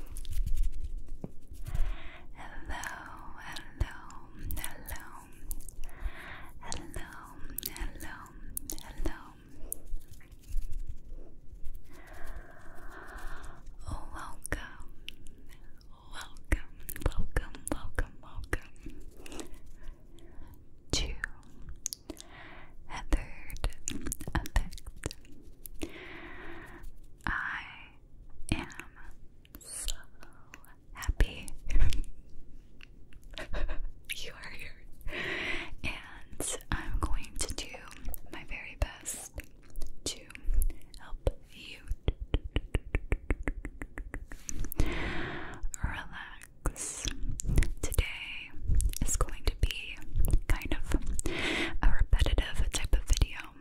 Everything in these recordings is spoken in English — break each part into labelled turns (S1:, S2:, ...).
S1: hello, hello, hello, hello, hello. Oh, welcome, welcome, welcome, welcome, welcome to a effect. I am so happy you are here. And I'm going to do my very best to help you relax. Today is going to be kind of a repetitive type of video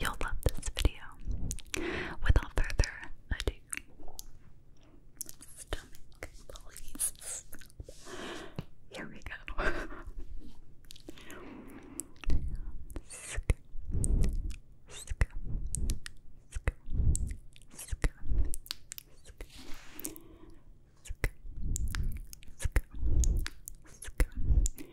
S1: You'll love this video. Without further ado, stomach, please. Here we go. Sk, sk, sk, sk, sk. Scoop, scoop, scoop,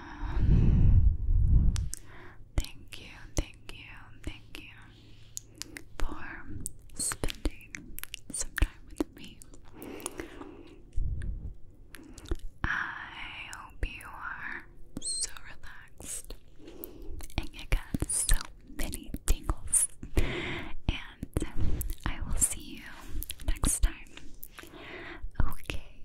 S2: Thank you, thank you, thank you for spending some time with me. I hope you are so relaxed and you got so many tingles. And I will see you next time. Okay,